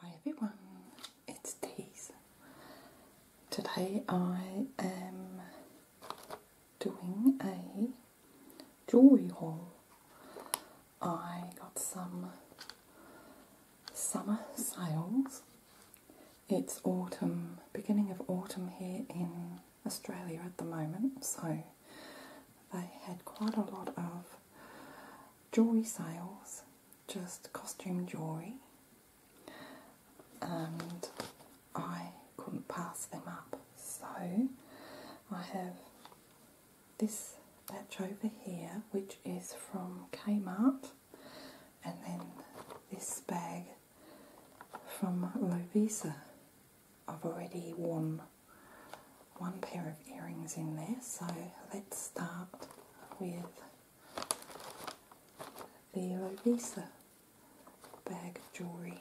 Hi everyone, it's Daisy. Today I am doing a jewellery haul. I got some summer sales. It's autumn, beginning of autumn here in Australia at the moment, so they had quite a lot of jewelry sales, just costume jewelry, and I couldn't pass them up. So I have this batch over here, which is from Kmart, and then this bag from Lovisa. I've already won one pair of earrings in there, so let's start with the Lovisa bag of jewellery.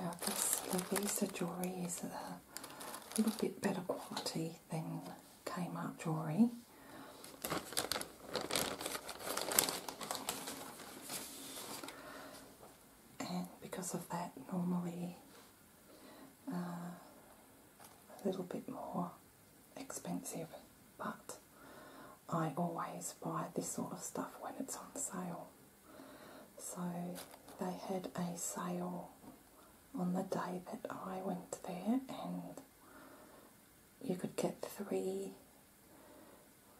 Now this Lovisa jewellery is a little bit better quality than Kmart jewellery. And because of that, normally uh, a little bit more expensive, but I always buy this sort of stuff when it's on sale. So they had a sale on the day that I went there, and you could get three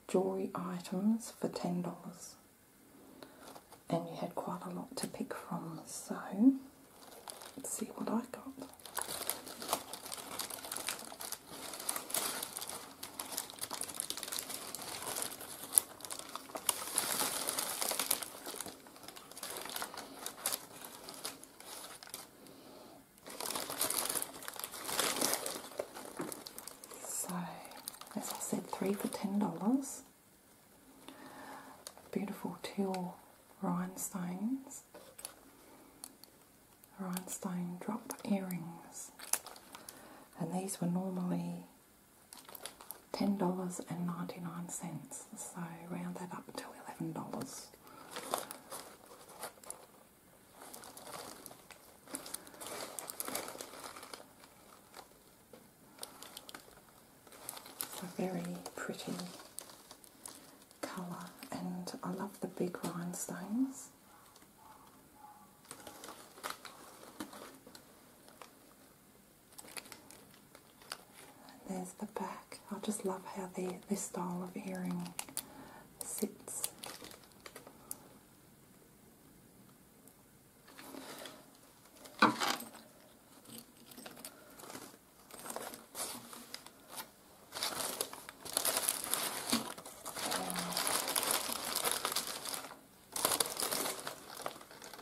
jewelry items for ten dollars, and you had quite a lot to pick from. So, let's see what I got. So, as I said, three for ten dollars. Beautiful teal rhinestones, rhinestone drop earrings, and these were normally ten dollars and ninety nine cents so round that up to eleven dollars. a very pretty colour, and I love the big rhinestones there's the back. I just love how the, this style of earring sits.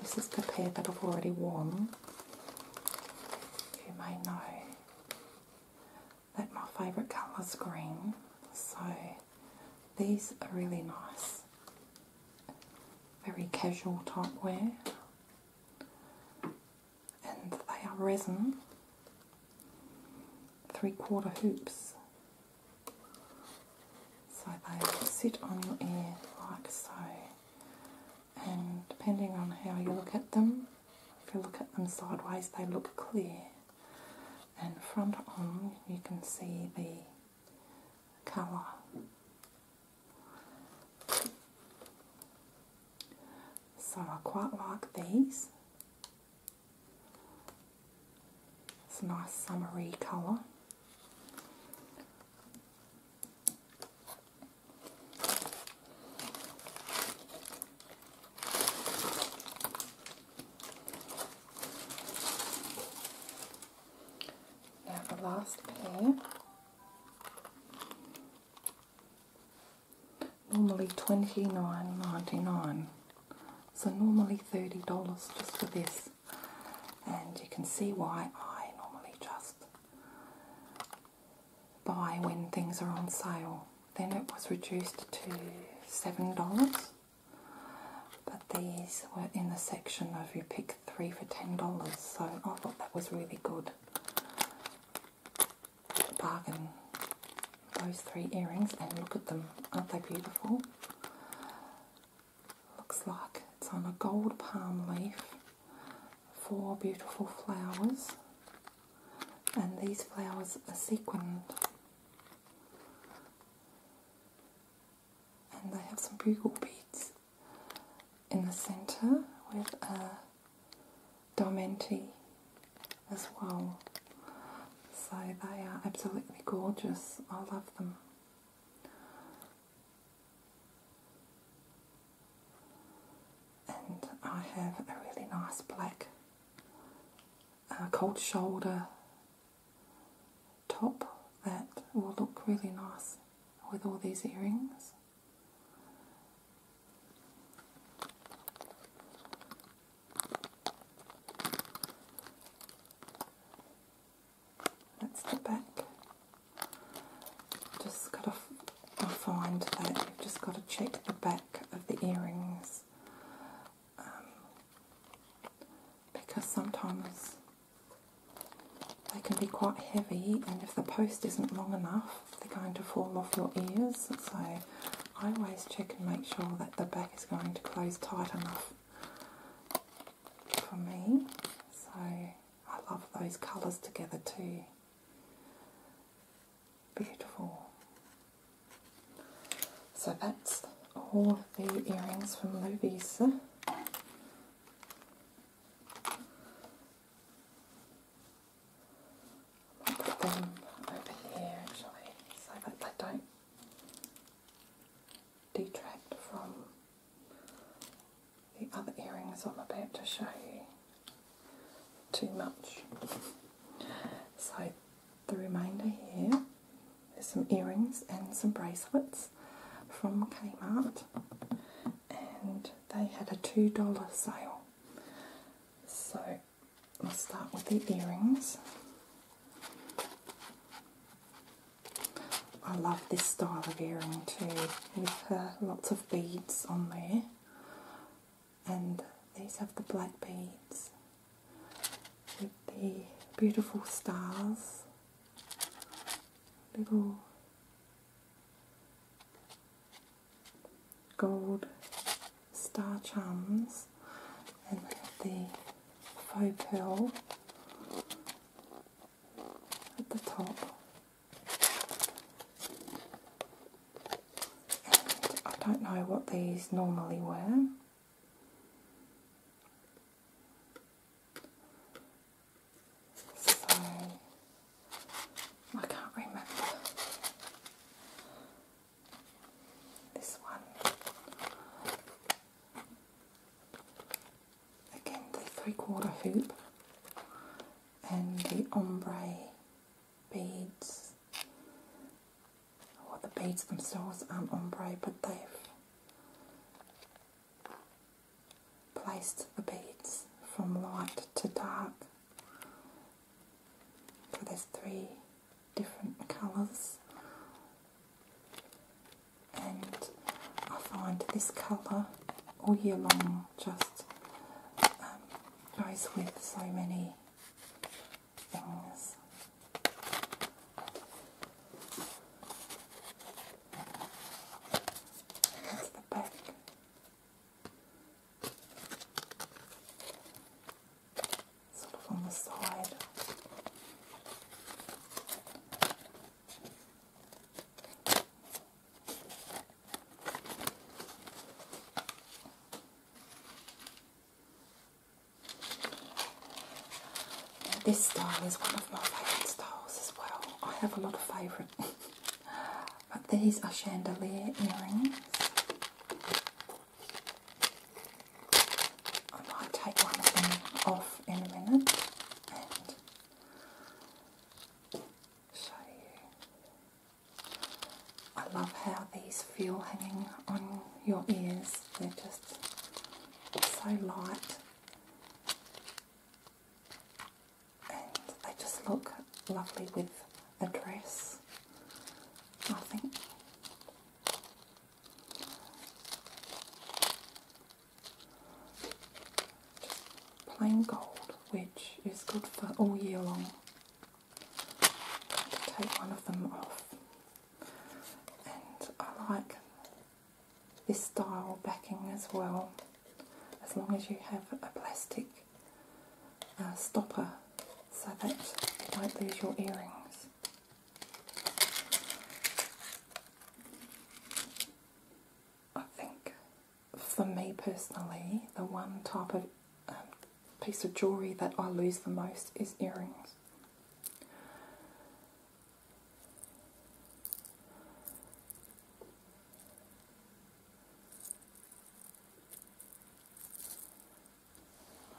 This is the pair that I've already worn. You may know that my favourite colour is green, so these are really nice. Very casual type wear. And they are resin three quarter hoops. So they sit on your ear like so and depending on how you look at them, if you look at them sideways, they look clear. And front on, you can see the colour. So I quite like these. It's a nice summery colour. Now the last pair. Normally twenty nine ninety nine, so normally thirty dollars just for this, and you can see why I normally just buy when things are on sale. Then it was reduced to $7, but these were in the section of you pick three for $10, so I thought that was really good. Bargain those three earrings and look at them, aren't they beautiful? Looks like it's on a gold palm leaf four beautiful flowers and these flowers are sequined and they have some bugle beads in the centre with a diamante as well so they are absolutely gorgeous I love them and I have a really nice black uh, cold shoulder top that will look really nice with all these earrings. Let's the back. Just got to i find that have just got to check the back of the earrings um, because sometimes they can be quite heavy and if the post isn't long enough they're going to fall off your ears so I always check and make sure that the back is going to close tight enough for me so I love those colours together too. Beautiful. So that's all the earrings from Lovisa. I'll put them over here actually so that they don't detract from the other earrings I'm about to show you. Too much. So the remainder here is some earrings and some bracelets from Kmart and they had a $2 sale. So I'll start with the earrings. I love this style of earring too, with uh, lots of beads on there. And these have the black beads with the beautiful stars, little gold star charms, and the faux pearl at the top I don't know what these normally were so I can't remember this one again the three quarter hoop and the ombre beads well, the beads themselves aren't ombre but they've placed the beads from light to dark so there's three different colours and I find this colour all year long just um, goes with so many things. That's the back. Sort of on the side. This style is one of my favourite styles as well. I have a lot of favourite. but these are chandelier earrings. I might take one of them off in a minute I love how these feel hanging on your ears, they're just so light and they just look lovely with a dress, I think plain gold, which is good for all year long. To take one of them off, and I like this style backing as well, as long as you have a plastic uh, stopper so that you don't lose your earrings. I think for me personally, the one type of um, piece of jewellery that I lose the most is earrings.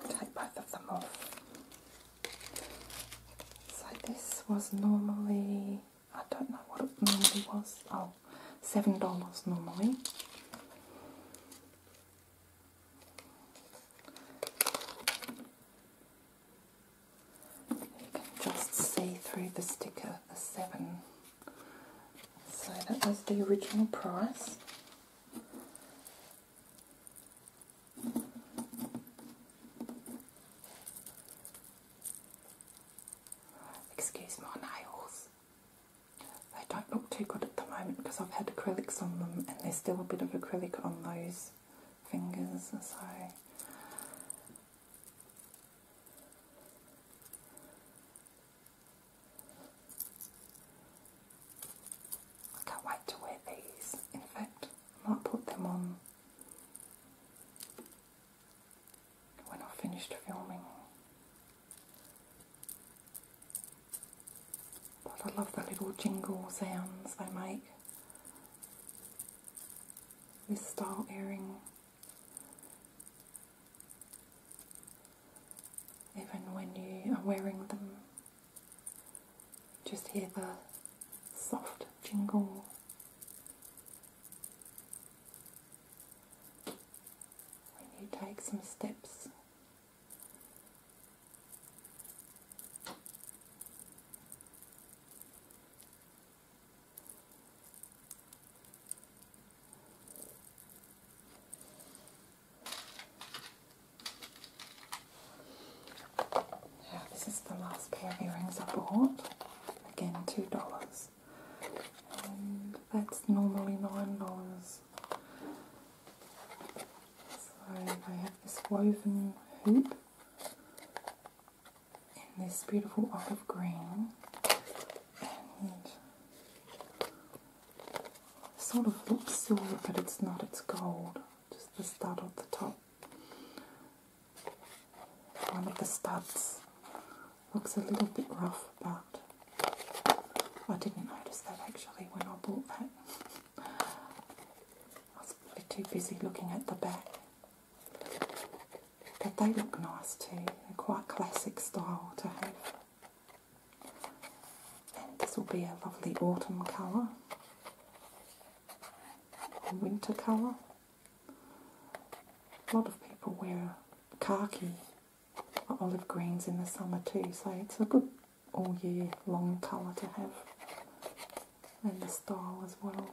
Take both of them off. So this was normally, I don't know what it normally was, oh seven dollars normally. You can just see through the sticker the 7 So that was the original price. Excuse my nails. They don't look too good at the moment because I've had acrylics on them and there's still a bit of acrylic on those fingers so I can't wait to wear these. In fact, I might put them on when I finished filming. But I love the little jingle sounds they make. This style earring, even when you are wearing them just hear the soft jingle. When you take some steps. Now, this is the last pair of earrings I bought. Again, $2. And that's normally $9. So they have this woven hoop in this beautiful olive green and sort of looks silver but it's not, it's gold, just the stud at the top. One of the studs looks a little bit rough, but I didn't notice that actually when I bought that. I was probably too busy looking at the back. But they look nice too. They're quite classic style to have. And this will be a lovely autumn colour winter colour. A lot of people wear khaki or olive greens in the summer too, so it's a good all year long colour to have and the style as well.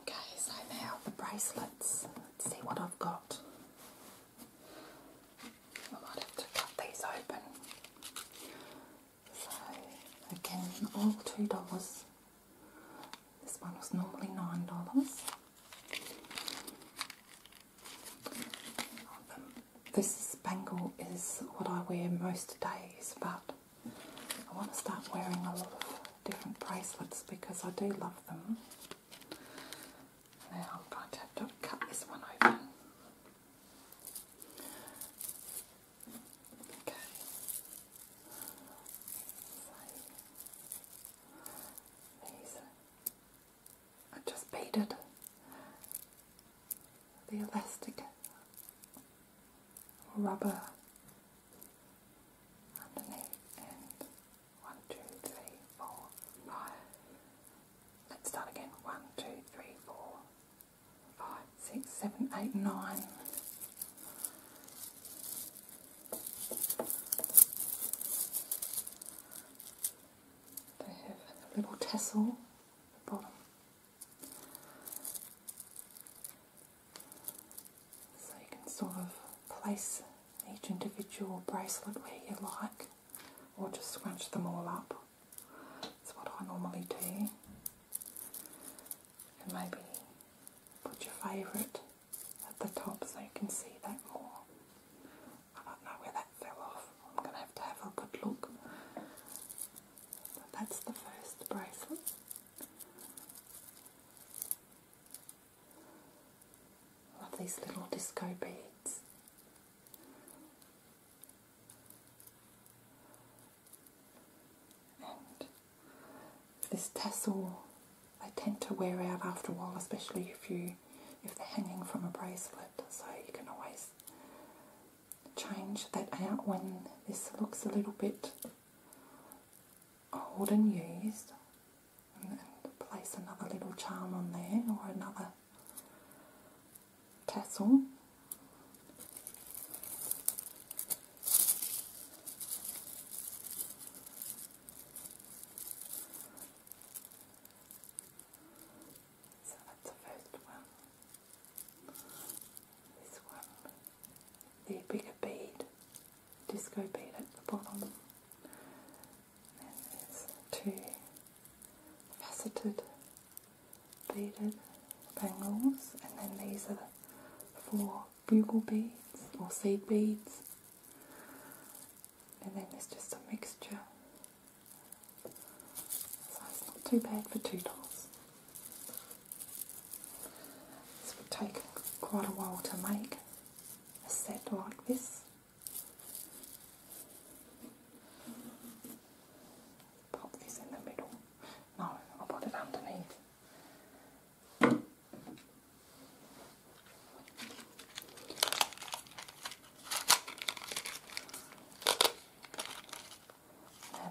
Okay, so now the bracelets. Let's see what I've got. I might to cut these open. So again, all three dollars. This one was normally nine dollars. Um, this bangle is what I wear most days, but I want to start wearing a lot of different bracelets because I do love them. I'm going to have to cut this one open. Okay. So I just beaded the elastic rubber underneath one, two, three, four, five. Let's start again. One, two, three, four, five, six, seven, eight, nine. They have a little tassel at the bottom. So you can sort of place each individual bracelet where you like or just scrunch them all up. That's what I normally do. And maybe put your favourite at the top so you can see that more. I don't know where that fell off. I'm going to have to have a good look. that's the first bracelet. Love these little disco beads. this tassel they tend to wear out after a while, especially if you if they're hanging from a bracelet, so you can always change that out when this looks a little bit old and used and place another little charm on there or another tassel. So that's the first one. This one, the bigger bead disco bead at the bottom. And then there's two faceted beaded bangles, and then these are four bugle beads or seed beads. And then there's just a mixture. So it's not too bad for two dollars. This would take quite a while to make a set like this. Pop this in the middle. No, I'll put it underneath.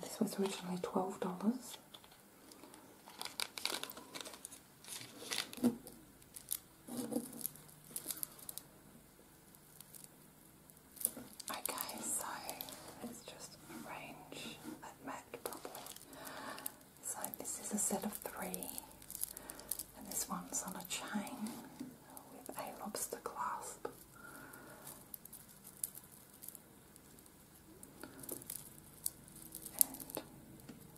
this was originally $12. Okay, so let's just arrange that mat properly. So this is a set of three, and this one's on a chain with a lobster clasp and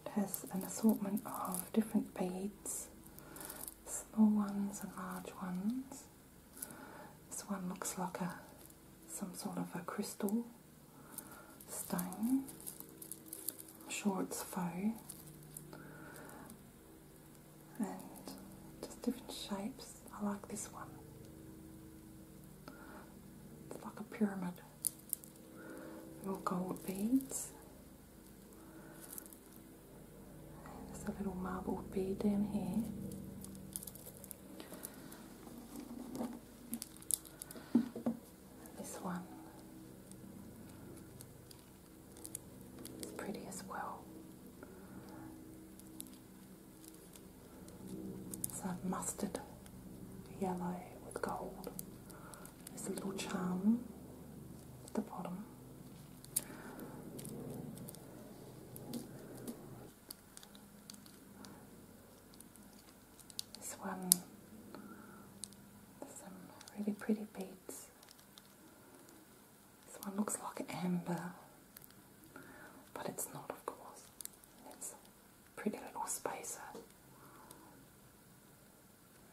it has an assortment of different beads, small ones and large ones. This one looks like a some sort of a crystal stone. I'm sure it's faux. And just different shapes. I like this one. like a pyramid little gold beads. And there's a little marble bead down here. this one is pretty as well. It's a mustard yellow with gold this little charm at the bottom. This one some really pretty beads. This one looks like amber, but it's not, of course. It's a pretty little spacer.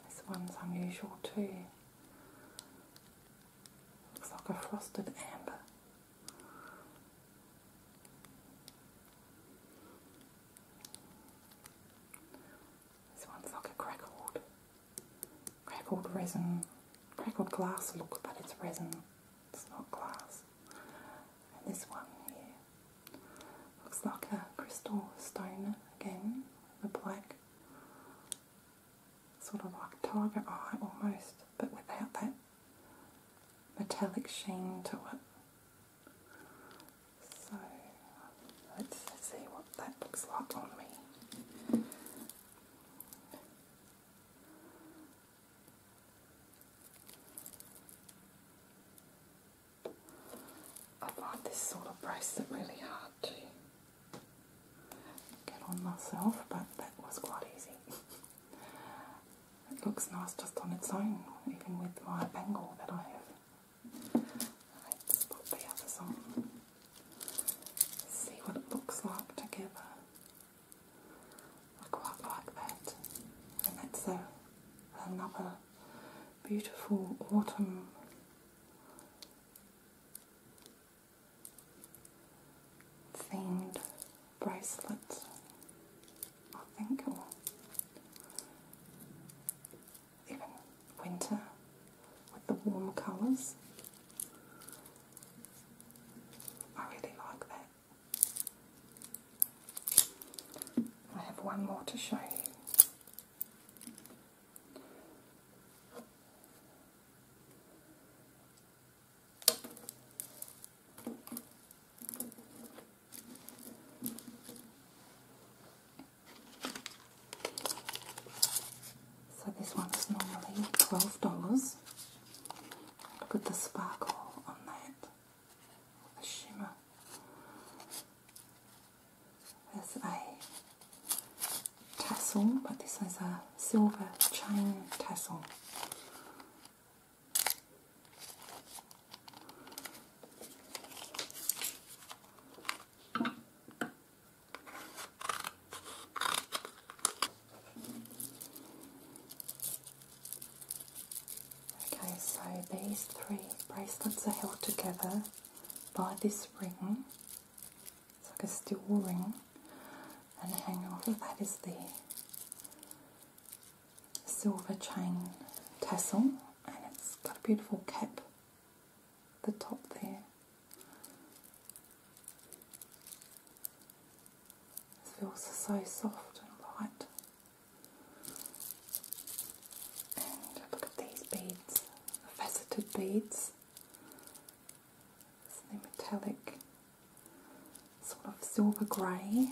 This one's unusual too. Looks like a frosted amber. This one's like a crackled, crackled resin, crackled glass look, but it's resin, it's not glass. And this one here Looks like a crystal stone again, the black sort of like tiger eye almost, but without that metallic sheen to it. So let's see what that looks like on me. I find this sort of bracelet really hard to get on myself, but that was quite easy. it looks nice just on its own, even with my bangle that I have. Let's put the others on. See what it looks like together. I quite like that. And that's another beautiful autumn themed bracelet, I think, or even winter with the warm colours. I really like that. I have one more to show you. So this one normally $12. Look at the sparkle on that. There's a tassel, but this is a silver chain tassel. Okay, so these three bracelets are held together by this ring. It's like a steel ring, and hanging off of that is the silver chain tassel, and it's got a beautiful cap the top there. It feels so soft and light look at these beads, faceted beads. It's the metallic, sort of silver grey.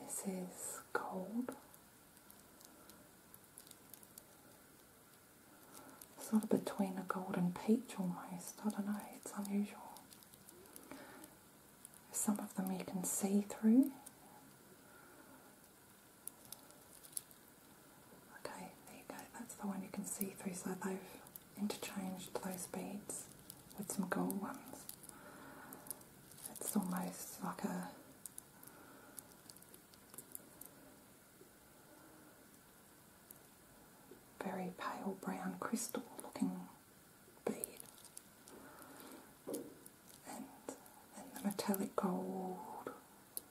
this is gold. It's Sort of between a gold and peach almost. I don't know, it's unusual. Some of them you can see through. Okay, there you go, that's the one you can see through. So they've interchanged those beads with some gold ones. It's almost like a very pale brown crystal looking bead. And then the metallic gold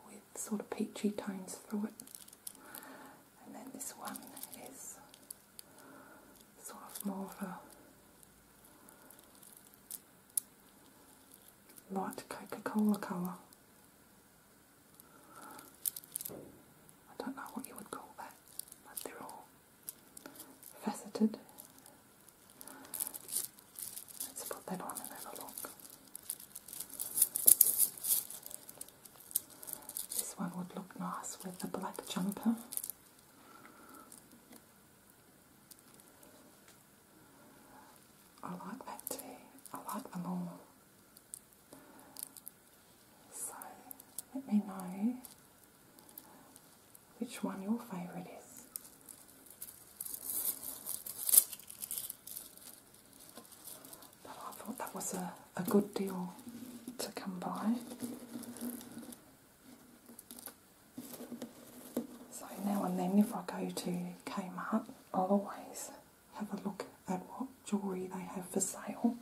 with sort of peachy tones through it. And then this one is sort of more of a light Coca-Cola colour. I don't know what you would call that but they're all faceted. Let's put that on and have a look. This one would look nice with the black jumper. I like that too. I like them all. So let me know which one your favourite is. But I thought that was a, a good deal to come by. So now and then, if I go to Kmart, i always have a look at what jewellery they have for sale.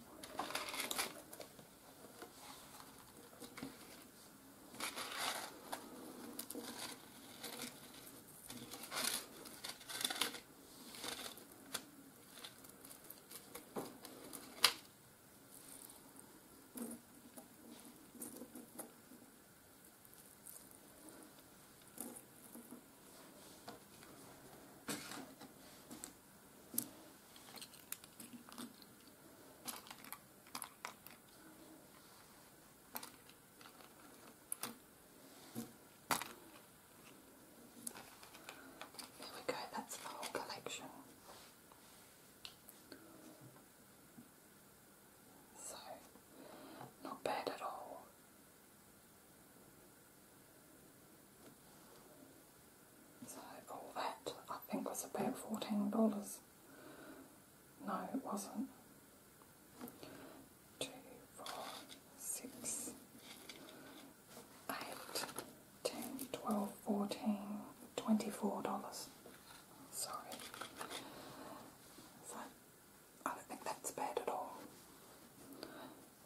There we go, that's the whole collection. So, not bad at all. So all that I think was about fourteen dollars. No, it wasn't. Two, four, six, eight, ten, twelve, fourteen, twenty-four dollars. Sorry. So I don't think that's bad at all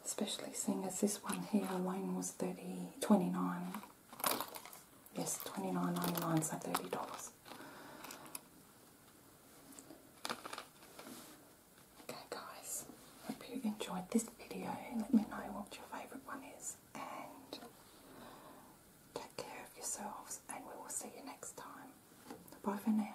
especially seeing as this one here alone was 30 29 yes 29.99 so 30 dollars okay guys hope you enjoyed this video let me know what your favorite one is and take care of yourselves and we will see you next time bye for now